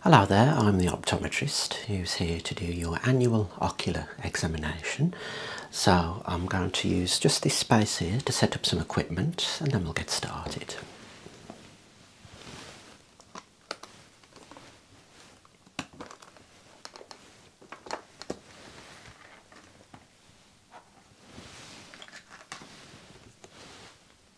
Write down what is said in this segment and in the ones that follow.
Hello there, I'm the optometrist who's here to do your annual ocular examination. So I'm going to use just this space here to set up some equipment and then we'll get started.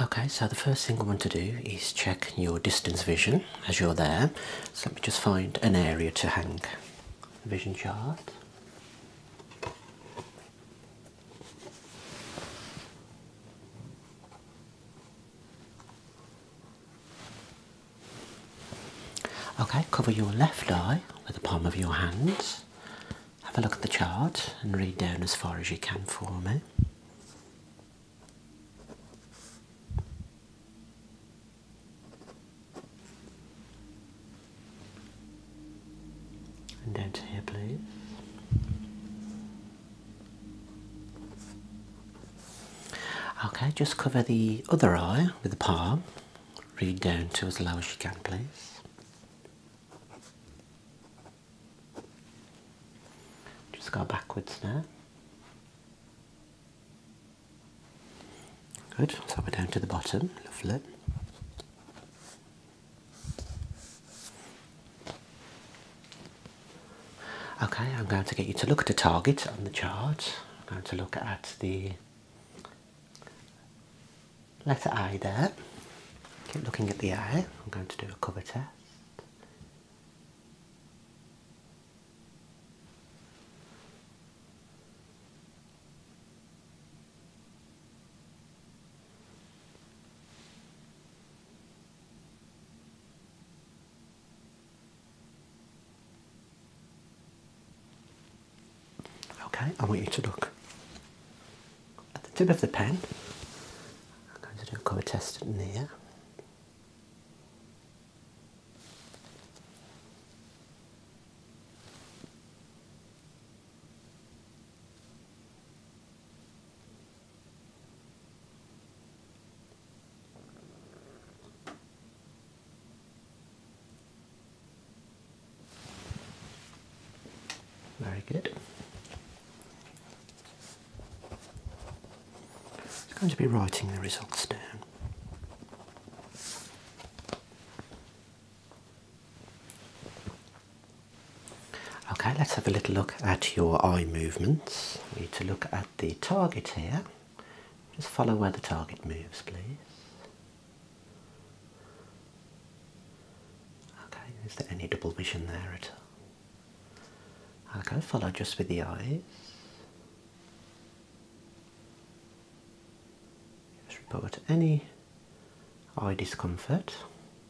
Okay, so the first thing we want to do is check your distance vision as you're there. So let me just find an area to hang the vision chart. Okay, cover your left eye with the palm of your hand. Have a look at the chart and read down as far as you can for me down to here, please. Okay, just cover the other eye with the palm. Read down to as low as you can, please. Just go backwards now. Good, so we're down to the bottom, lovely. Okay, I'm going to get you to look at a target on the chart. I'm going to look at the letter I there. Keep looking at the I. I'm going to do a cover test. Okay, I want you to look at the tip of the pen. I'm going to do a colour test in here. Very good. I'm going to be writing the results down. Okay, let's have a little look at your eye movements. We need to look at the target here. Just follow where the target moves, please. Okay, is there any double vision there at all? I Okay, follow just with the eyes. Just report any eye discomfort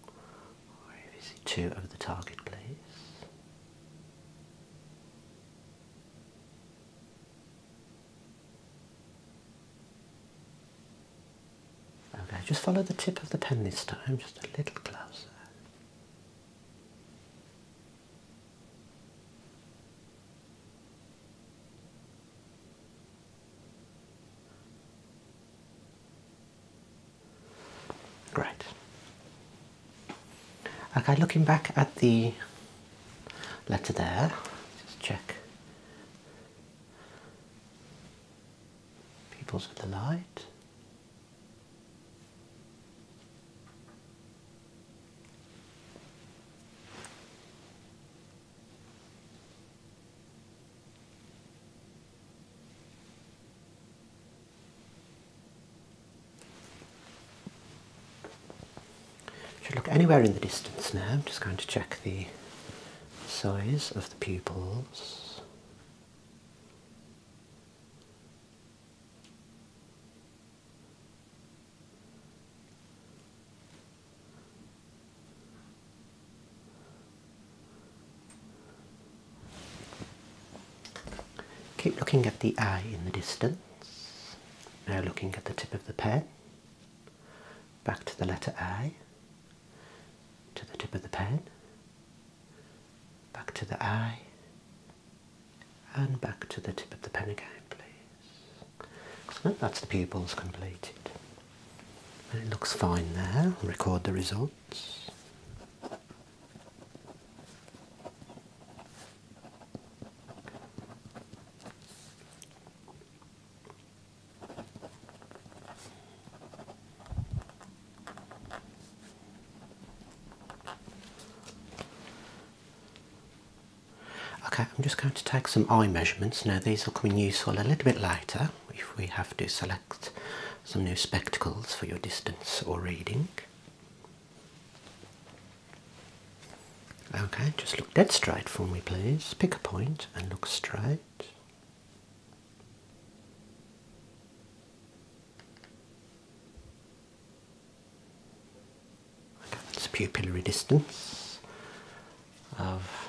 or if you see two of the target, please. Okay, just follow the tip of the pen this time, just a little closer. Great. Okay, looking back at the letter there, just check Pupils of the light. Should look anywhere in the distance now. I'm just going to check the size of the pupils. Keep looking at the eye in the distance. Now looking at the tip of the pen. Back to the letter I to the tip of the pen, back to the eye, and back to the tip of the pen again, please. that's the pupils completed. And it looks fine there. record the results. Okay, I'm just going to take some eye measurements. Now these will come in useful a little bit later if we have to select some new spectacles for your distance or reading. Okay, just look dead straight for me please. Pick a point and look straight. That's pupillary distance of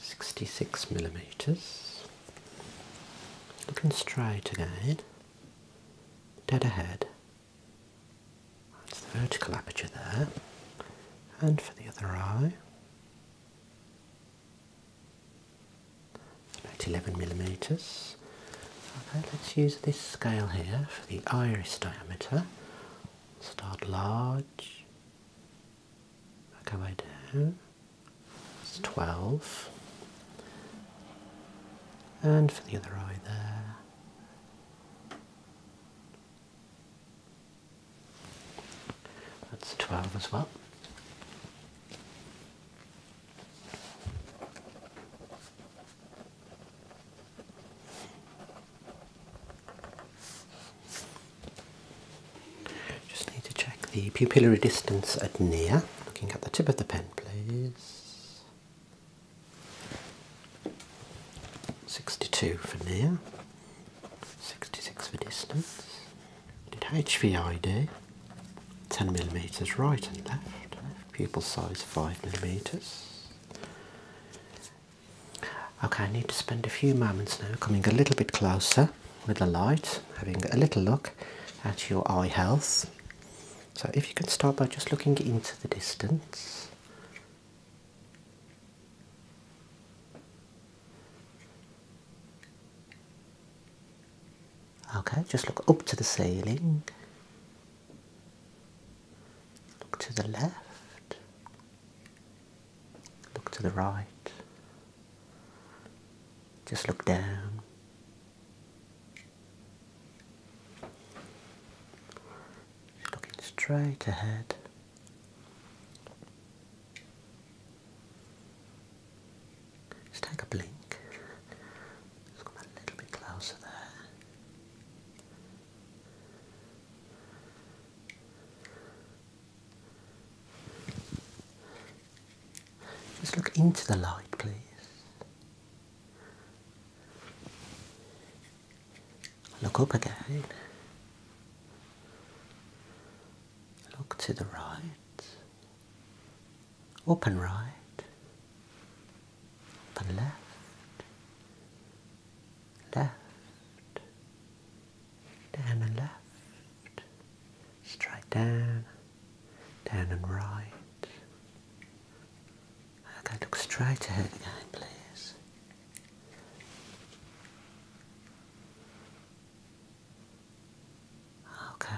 66 millimeters. Looking straight again, dead ahead. That's the vertical aperture there. And for the other eye, about 11 millimeters. Okay, let's use this scale here for the iris diameter. Start large, work our way down. It's 12. And for the other eye there, that's 12 as well. Just need to check the pupillary distance at near. Looking at the tip of the pen, please. 62 for near, 66 for distance, and HVID, 10 millimeters right and left, pupil size 5 millimeters. Okay, I need to spend a few moments now coming a little bit closer with the light, having a little look at your eye health. So if you can start by just looking into the distance. Okay, just look up to the ceiling. Look to the left. Look to the right. Just look down. looking straight ahead. Just take a blink. Just come a little bit closer there. Just look into the light, please. Look up again. Look to the right. Up and right. Up left. Left. Down and left. Straight down. Down and right. I can look straight ahead again, please. Okay,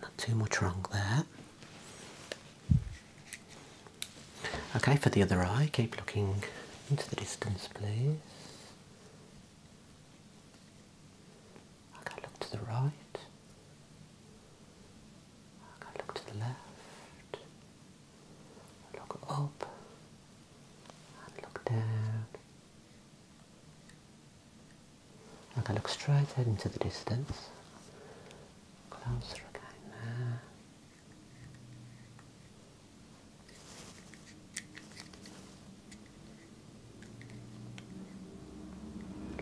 not too much wrong there. Okay, for the other eye, keep looking into the distance, please. Okay, look to the right. Okay, look to the left. Look up and look down. I can look straight ahead into the distance. Closer again now.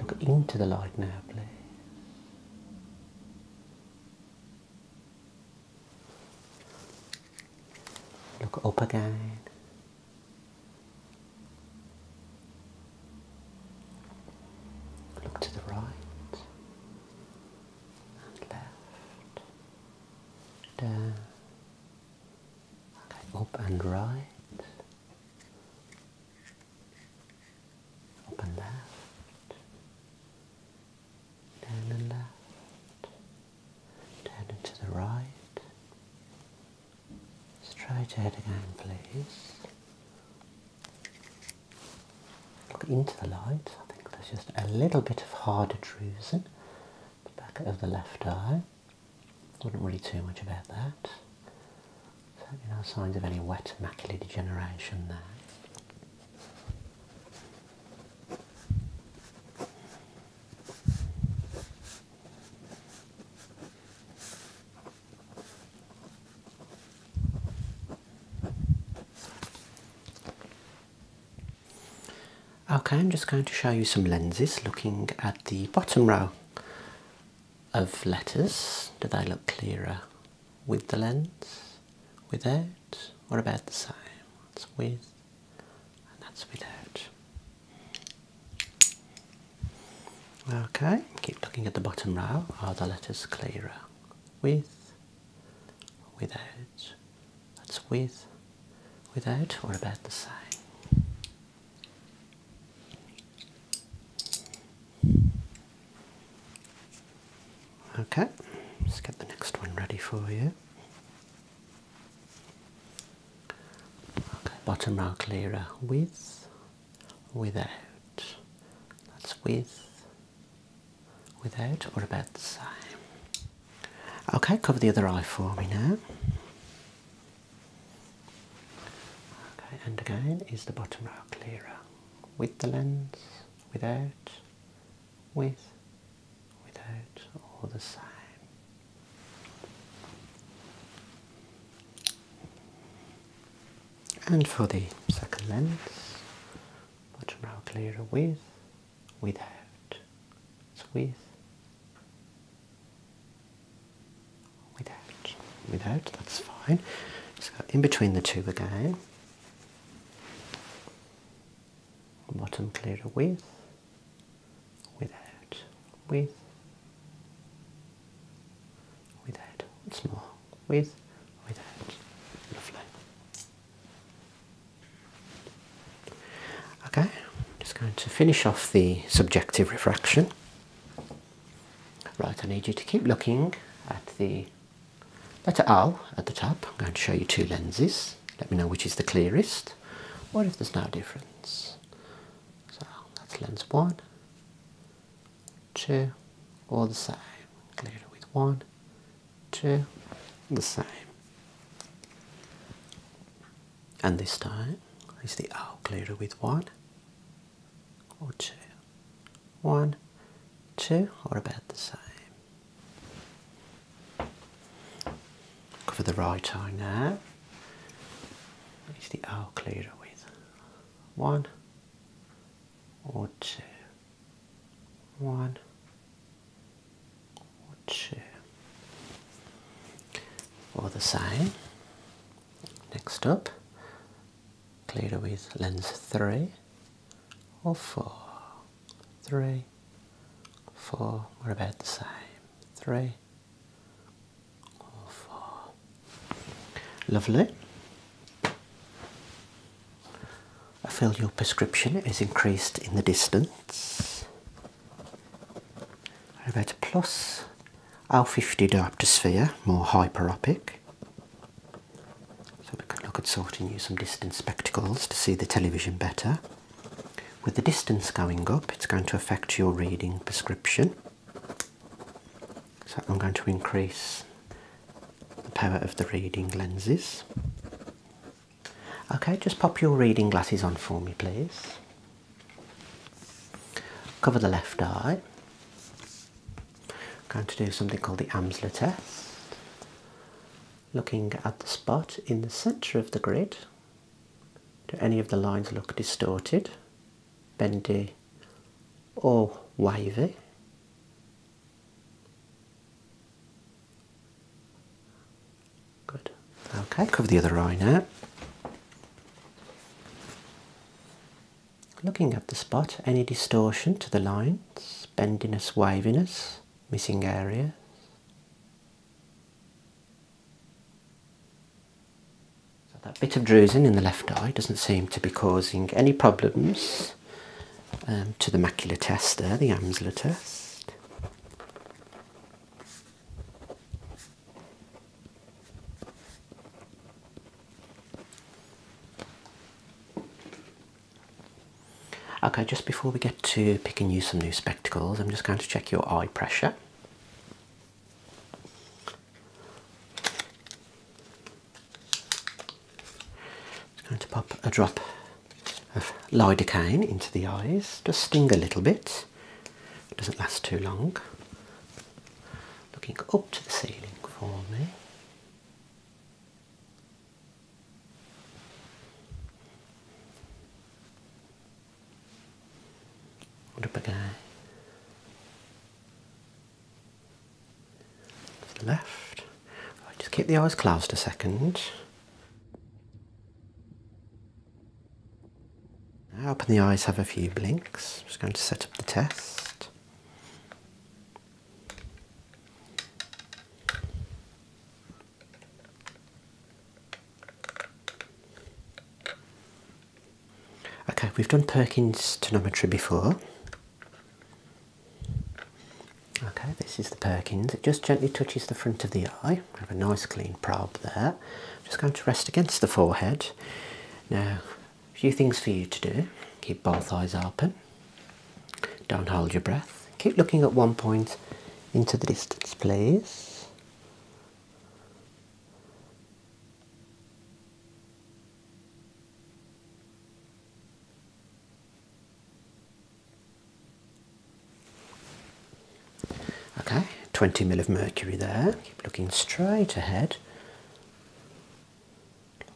Look into the light now, please. Look up again. Look to the right and left. Down. Okay, up and right up and left, down and left, down to the right. try it again, please. Look into the light. I think there's just a little bit of hard drusen the back of the left eye. would not really too much about that. Certainly no signs of any wet macular degeneration there. Okay, I'm just going to show you some lenses looking at the bottom row of letters. Do they look clearer with the lens, without, or about the same. That's with and that's without. Okay, keep looking at the bottom row. Are the letters clearer? With, without. That's with, without, or about the same. Okay, let's get the next one ready for you. Okay, bottom row clearer with, without. That's with, without, or about the same. Okay, cover the other eye for me now. Okay, and again is the bottom row clearer with the lens, without, with, without, all the same. And for the second lens, bottom row clearer with, without, it's with, Without, without, that's fine. Just go in between the two again. Bottom clearer with, without, with, without. Once more, with, without. Lovely. Okay, just going to finish off the subjective refraction. Right, I need you to keep looking at the letter O at the top. I'm going to show you two lenses. Let me know which is the clearest or if there's no difference. So that's lens one, two, all the same. Clearer with one, two, the same. And this time is the O clearer with one, or two, one, two, or about the same? Cover the right eye now. Is the eye clearer with one or two? One or two? Or the same? Next up, clear with lens 3 or 4. 3, 4, we're about the same. 3 4. Lovely. I feel your prescription is increased in the distance. We're about plus L50 dioptosphere, more hyperopic. So we could look at sorting you some distance spectacles to see the television better. With the distance going up, it's going to affect your reading prescription. So I'm going to increase the power of the reading lenses. Okay, just pop your reading glasses on for me, please. Cover the left eye. Going to do something called the Amsler test. Looking at the spot in the centre of the grid. Do any of the lines look distorted, bendy, or wavy? Good. Okay, cover the other eye now. Looking at the spot, any distortion to the lines, bendiness, waviness, missing areas. that bit of drusen in the left eye doesn't seem to be causing any problems um, to the macular tester, the Amsler test. Okay, just before we get to picking you some new spectacles, I'm just going to check your eye pressure. It's going to pop a drop of lidocaine into the eyes, just sting a little bit. It doesn't last too long. Looking up to the ceiling for me. What up again? To the left. just keep the eyes closed a second. Now up the eyes have a few blinks. I'm just going to set up the test. Okay, we've done Perkins tonometry before. Okay, this is the Perkins. It just gently touches the front of the eye. We have a nice clean probe there just going to rest against the forehead. Now, a few things for you to do. Keep both eyes open. Don't hold your breath. Keep looking at one point into the distance, please. Okay, 20 mil of mercury there. Keep looking straight ahead.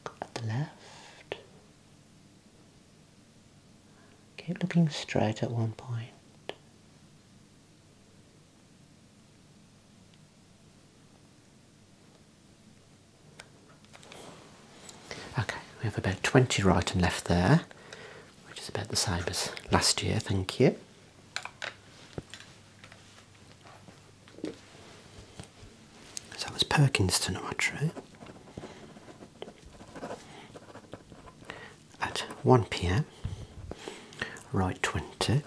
Look at the left. Keep looking straight at one point. Okay, we have about 20 right and left there which is about the same as last year, thank you. So that was Perkinston Watchery at 1pm, right 20,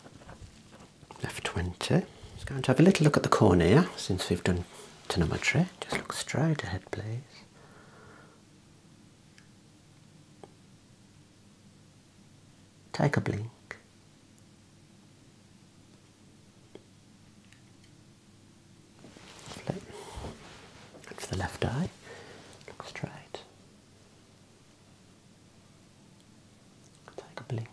left 20. It's going to have a little look at the cornea since we've done tonometry. Just look straight ahead please. Take a blink. Flip. Look for the left eye. Look straight. Take a blink.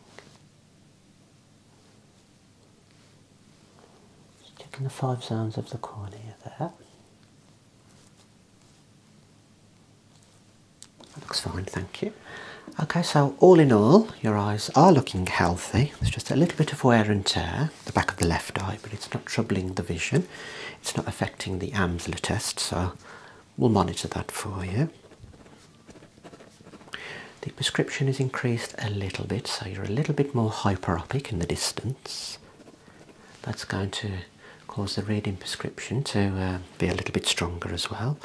Just checking the five zones of the cornea there. That looks fine, thank you. Okay, so all in all, your eyes are looking healthy. There's just a little bit of wear and tear, the back of the left eye, but it's not troubling the vision. It's not affecting the AMSLA test, so we'll monitor that for you. The prescription is increased a little bit, so you're a little bit more hyperopic in the distance that's going to cause the reading prescription to uh, be a little bit stronger as well.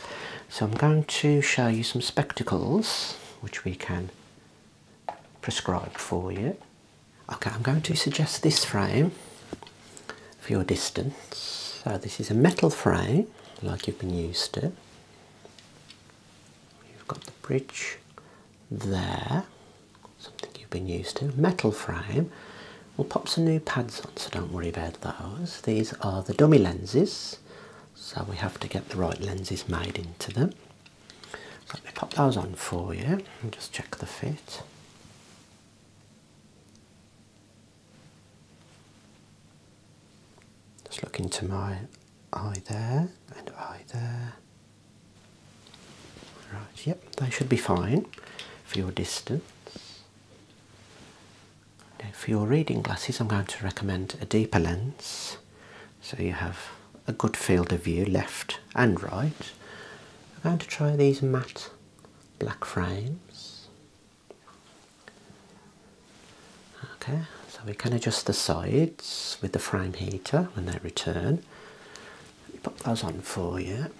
So I'm going to show you some spectacles which we can prescribe for you. Okay, I'm going to suggest this frame for your distance. So this is a metal frame like you've been used to. You've got the bridge there, something you've been used to, metal frame. We'll pop some new pads on, so don't worry about those. These are the dummy lenses, so we have to get the right lenses made into them. So let me pop those on for you and just check the fit. Just look into my eye there and eye there. Right, yep, they should be fine for your distance. Now for your reading glasses, I'm going to recommend a deeper lens so you have a good field of view left and right. I'm going to try these matte black frames. Okay, so we can adjust the sides with the frame heater when they return. Let me pop those on for you.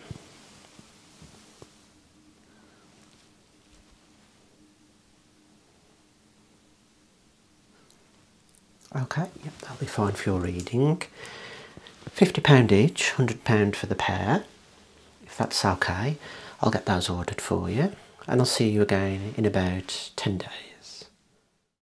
Okay, yep, that'll be fine for your reading. £50 each, £100 for the pair, if that's okay. I'll get those ordered for you and I'll see you again in about 10 days.